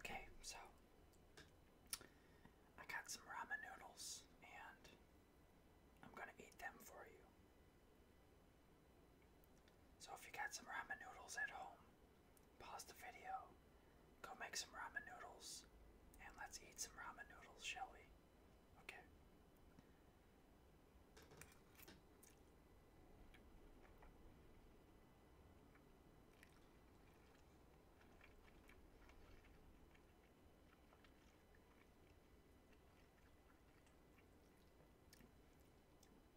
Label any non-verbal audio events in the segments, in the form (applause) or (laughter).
Okay, so I got some ramen noodles and I'm gonna eat them for you. So if you got some ramen noodles at home, pause the video, go make some ramen noodles, and let's eat some ramen noodles, shall we? Okay.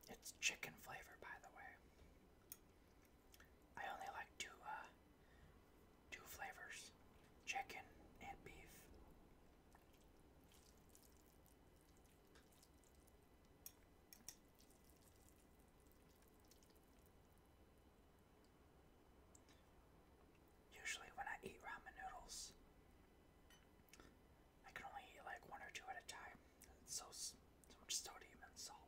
It's chicken flavor, by the way. I only like two uh, two flavors, chicken and beef. Usually, when I eat ramen noodles, I can only eat like one or two at a time. It's so so much sodium and salt.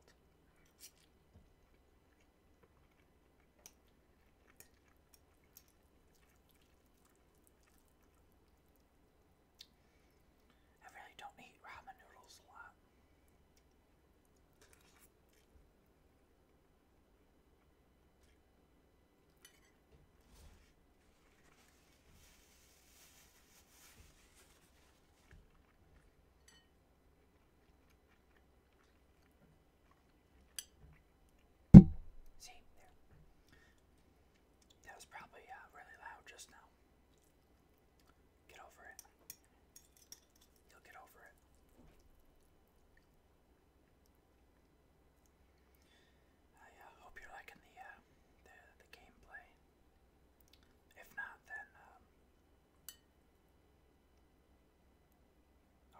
I really don't eat ramen noodles a lot. See, That was probably uh, really loud just now. Get over it. you get over it. I uh, hope you're liking uh, the, gameplay. If not, then um, Oh,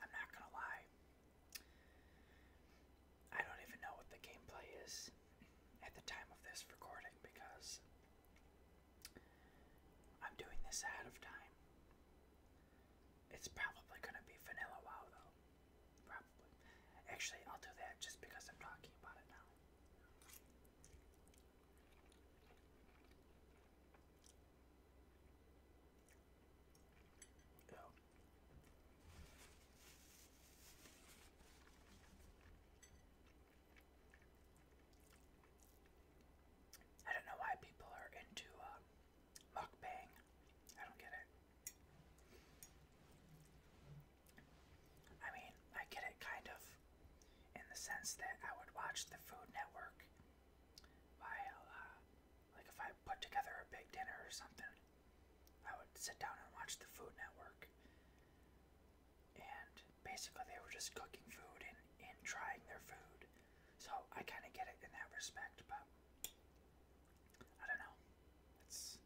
I'm not gonna lie. I don't even know what the gameplay is at the time of this recording because I'm doing this ahead of time. It's probably gonna be vanilla wow though. Probably. Actually, I'll do that just because I'm talking about it now. Oh. I don't know why people are into uh, mukbang. I don't get it. I mean, I get it kind of in the sense that I would watch the Food Network while, uh, like, if I put together a big dinner or something, I would sit down and watch the Food Network. And basically they were just cooking food and, and trying their food. So I kind of get it in that respect, but I don't know. It's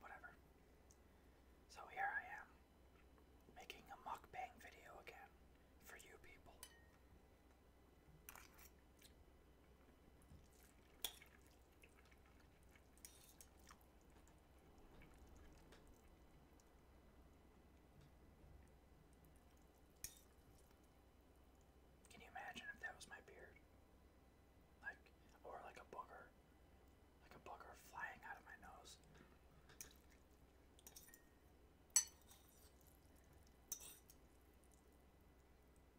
whatever. So here I am, making a mukbang video again for you people. Can you imagine if that was my beard? Like, or like a booger. Like a booger flying out of my nose.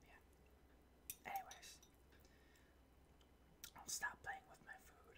Yeah. Anyways, I'll stop playing with my food.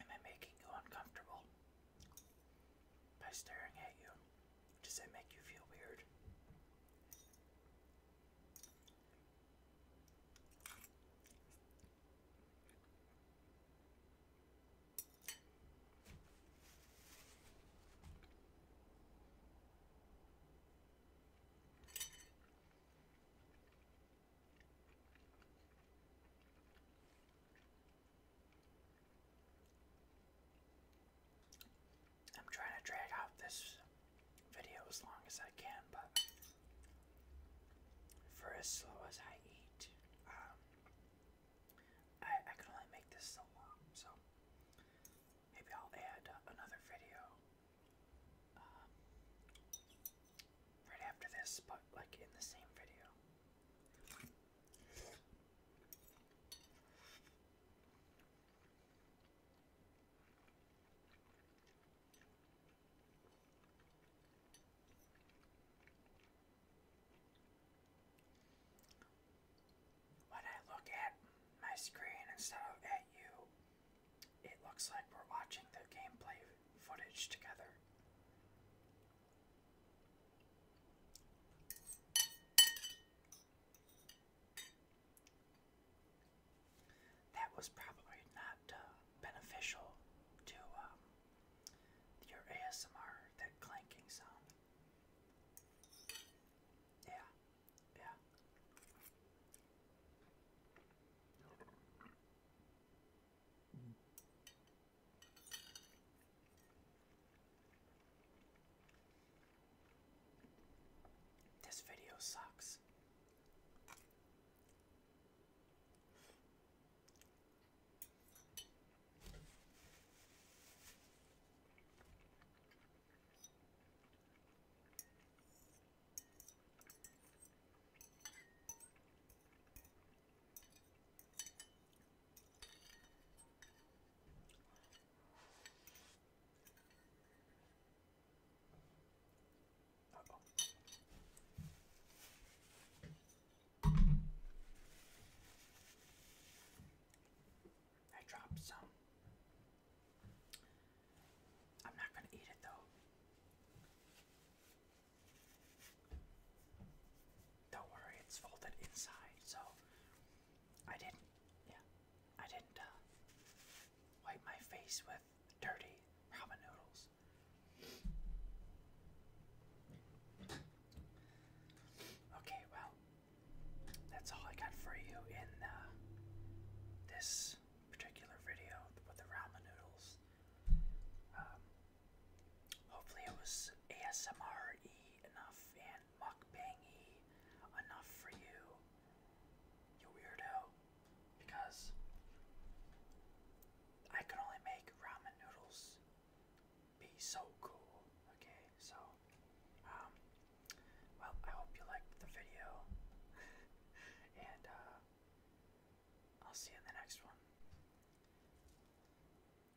Am I making you uncomfortable by staring at you? Does that make you feel weird? I'm trying to drag out this video as long as I can, but for as slow as I eat, um, I, can only make this so long. So maybe I'll add another video um, right after this, but like in the same video. When I look at my screen instead of at you, it looks like we're watching the gameplay footage together. That was probably not uh, beneficial to um, your ASMR, that clanking sound. Yeah, yeah. This video sucks. Uh -oh. I dropped some I'm not going to eat it though. Don't worry, it's folded inside, so I didn't, yeah, I didn't uh, wipe my face with dirty ramen noodles. Okay, well, that's all I got for you in uh, this particular video with the ramen noodles. Um, hopefully, it was ASMR enough and mukbang enough for you, you weirdo, because I could only make ramen noodles be so cool. Okay, so, um, well, I hope you liked the video. (laughs) and, uh, I'll see you in the next one.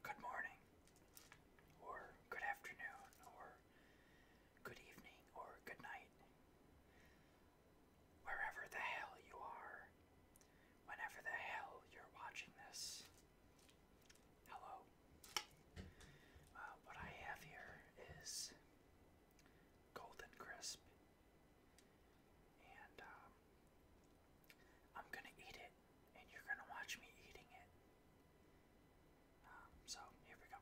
Good morning, or good afternoon, or good evening, or good night. Wherever the hell you are, whenever the hell you're watching this, hello. Uh, what I have here is golden crisp, and um, I'm gonna eat it, and you're gonna watch me eating it. Um, so here we go.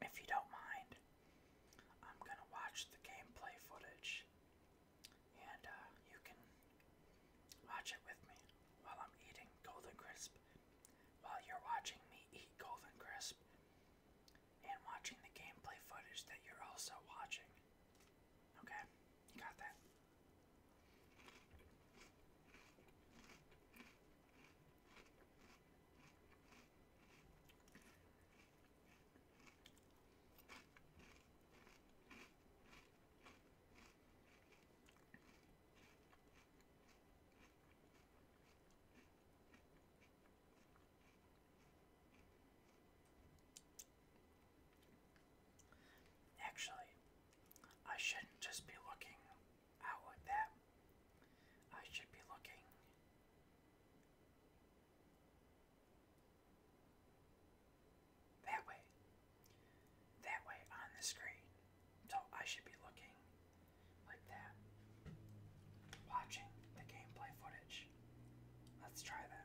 If you don't mind, I'm going to watch the gameplay footage and uh, you can watch it with me while I'm eating Golden Crisp, while you're watching me eat Golden Crisp, and watching the gameplay footage that you're also watching. Okay? You got that? Actually, I shouldn't just be looking outward that I should be looking. That way. That way on the screen. So I should be looking like that. Watching the gameplay footage. Let's try that.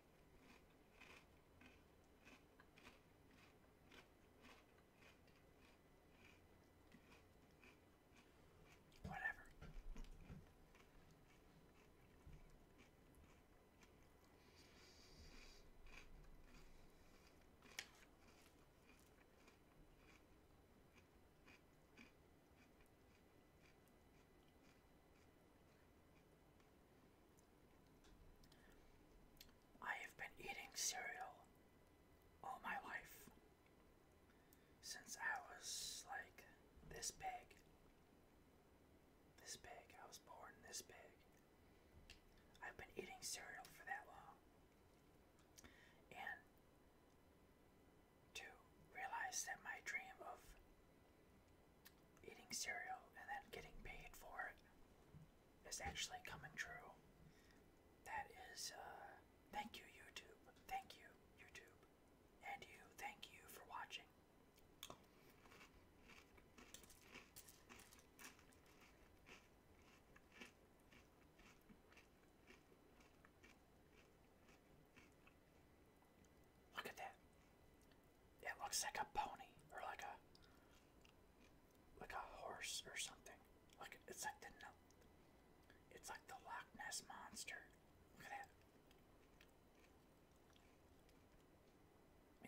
Whatever. I have been eating cereal all my life since I was like this big. This big. I was born this big. I've been eating cereal for that long. And to realize that my dream of eating cereal and then getting paid for it is actually coming true. That is, uh, thank you, YouTube. Thank you, YouTube. And you, thank you for watching. Look at that. It looks like a pony or like a like a horse or something. Like it's like the it's like the Loch Ness monster. Look at that.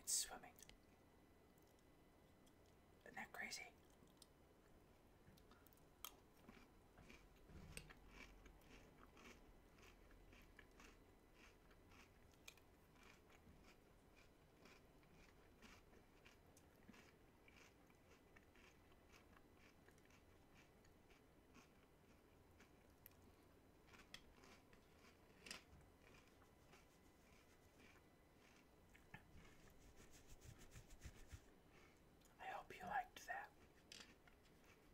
It's swimming. Isn't that crazy? I hope you liked that.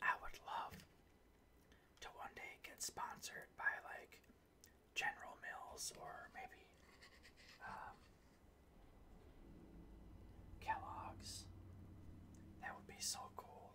I would love to one day get sponsored by like General Mills or maybe um, Kellogg's. That would be so cool.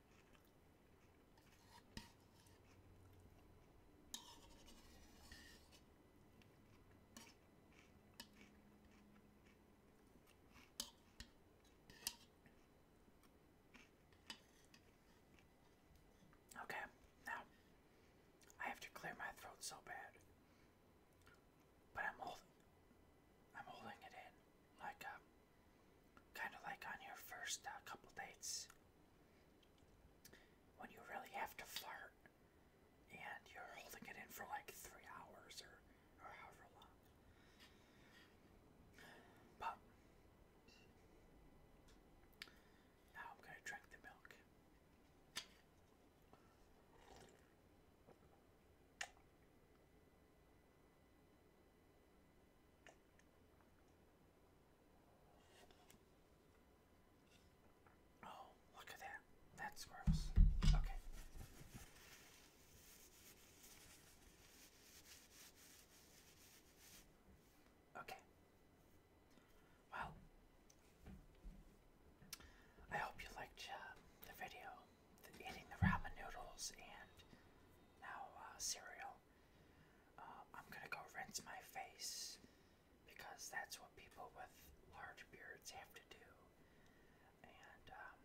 Okay, now I have to clear my throat so bad, but I'm holding, I'm holding it in like a. Um, Kind of like on your first uh, couple dates when you really have to flirt and you're holding it in for like three hours or, or however long. But now I'm going to drink the milk. Oh, look at that. That's gross. Okay. Okay. Well, I hope you liked uh, the video eating the ramen noodles and now uh, cereal. Uh, I'm gonna go rinse my face because that's what people with large beards have to do. And um,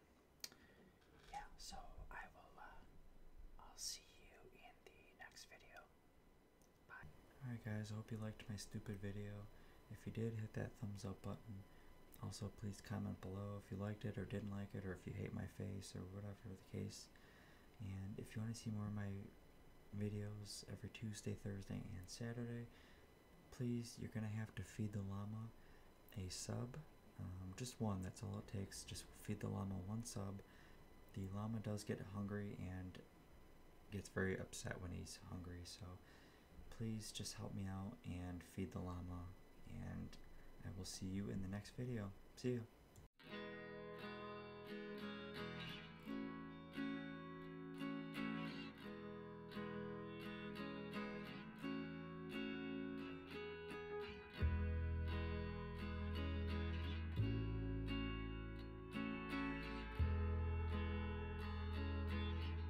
yeah, so I will. Uh, I'll see you in the next video. Bye. Alright guys, I hope you liked my stupid video. If you did, hit that thumbs up button. Also, please comment below if you liked it or didn't like it, or if you hate my face or whatever the case. And if you want to see more of my videos every Tuesday, Thursday, and Saturday, please, you're going to have to feed the llama a sub. Um, just one, that's all it takes. Just feed the llama one sub. The llama does get hungry and gets very upset when he's hungry, so please just help me out and feed the llama. And I will see you in the next video. See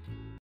you.